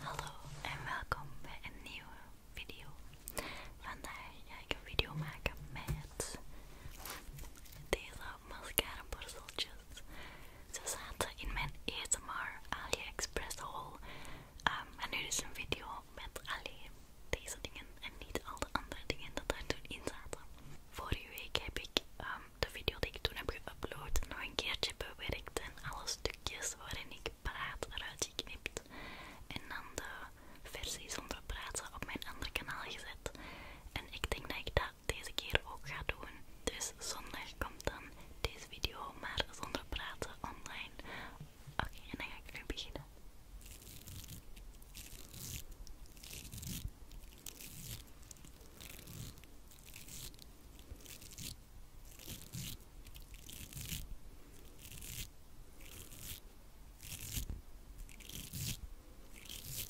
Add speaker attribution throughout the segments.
Speaker 1: Hallo en welkom bij een nieuwe video. Vandaag ga ik een video maken met deze mascara borsteltjes. Ze zaten in mijn ASMR AliExpress haul. Ehm, en nu is dus een video met alleen deze dingen en niet al de andere dingen dat daar toen in zaten. Vorige week heb ik ehm, de video die ik toen heb geüpload nog een keertje bewerkt en alle stukjes waarin ik praat eruit geknipt. En dan de versie zonder praten op mijn andere kanaal gezet. En ik denk dat ik dat deze keer ook ga doen. Dus zondag komt dan deze video, maar zonder praten online. Oké, en dan ga ik nu beginnen.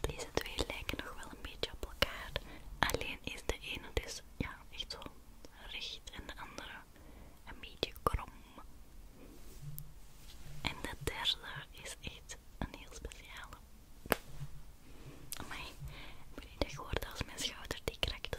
Speaker 1: Deze twee lijken nog wel een beetje op elkaar, alleen is de ene dus ja, echt zo richt en de andere een beetje krom. En de derde is echt een heel speciale. Amai, ik ben niet echt gehoord als mijn schouder die krakte.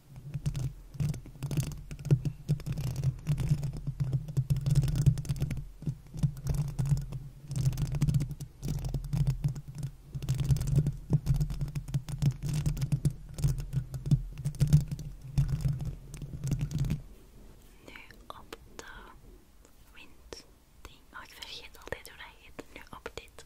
Speaker 1: Nu op de wind. Oh, ik vergeet altijd hoe dat heet. Nu op dit.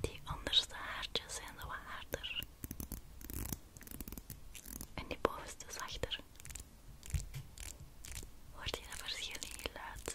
Speaker 1: Die onderste haartjes zijn wat harder. En die bovenste zachter. Hoort hier dat verschil in geluid?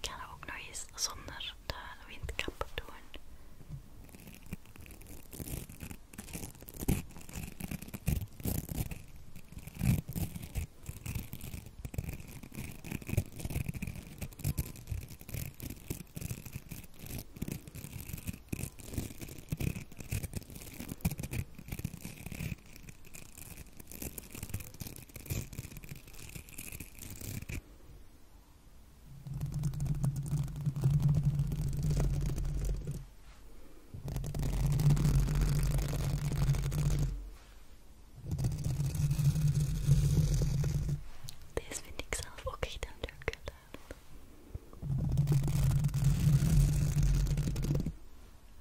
Speaker 1: Ik ook nog eens zonder de windkap doen. Deze vind ik zelf ook echt een leuk geluid.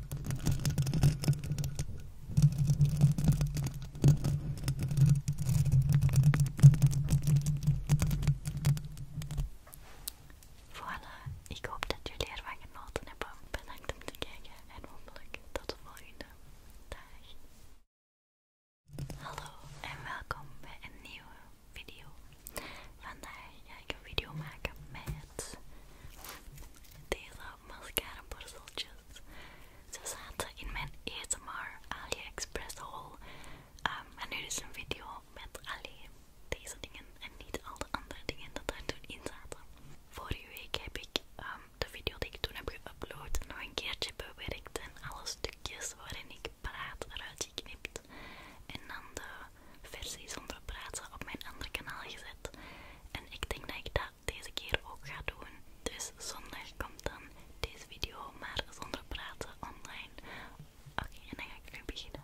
Speaker 1: Voilà, ik hoop dat jullie ervan genoten hebben. Bedankt om te kijken en hopelijk tot de volgende. Dag. Hallo en welkom bij een nieuwe video. Vandaag ga ik een video maken met deze mascara borsteltjes. Ze zaten in mijn ASMR AliExpress haul. Ehm, en nu is een video met alleen deze dingen en niet al de andere dingen dat daar toen in zaten. Vorige week heb ik ehm, de video die ik toen heb geüpload nog een keertje bewerkt en alle stukjes waarin ik praat eruit geknipt. En dan de versie zonder praten op mijn andere kanaal gezet. En ik denk dat ik dat deze keer ook ga doen. Dus zondag komt dan deze video, maar zonder praten online. Oké, en dan ga ik nu beginnen.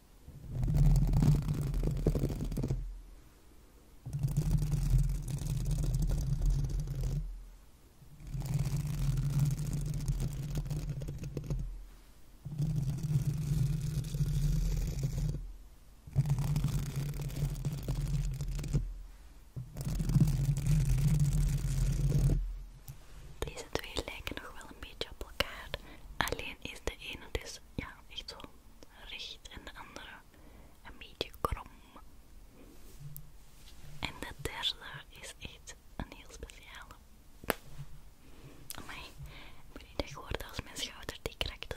Speaker 1: Deze twee lijken nog wel een beetje op elkaar, alleen is de ene dus ja, echt zo richt en de andere een beetje krom. En de derde is echt een heel speciale. Amai, ik ben niet echt gehoord als mijn schouder die krakte.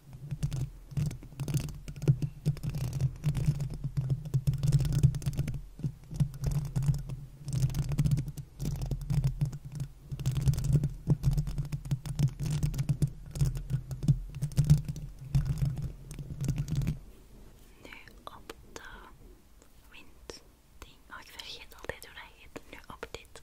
Speaker 1: Nu op de wind ding. Oh, ik vergeet altijd hoe dat heet. dit.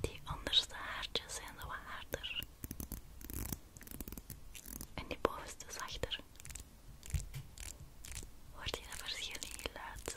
Speaker 1: Die onderste haartjes zijn zo wat harder. En die bovenste zachter. Wordt hier een verschil in geluid?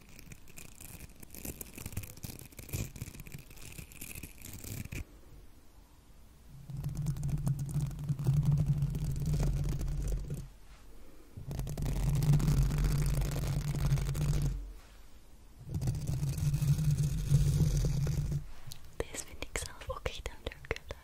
Speaker 1: Deze vind ik zelf ook echt een leuk geluid.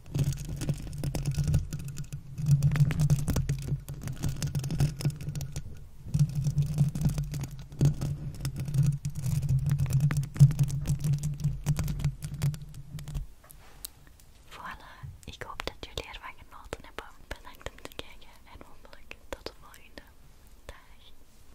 Speaker 1: Voilà, ik hoop dat jullie ervan genoten hebben. Bedankt om te kijken en hopelijk tot de volgende. Dag!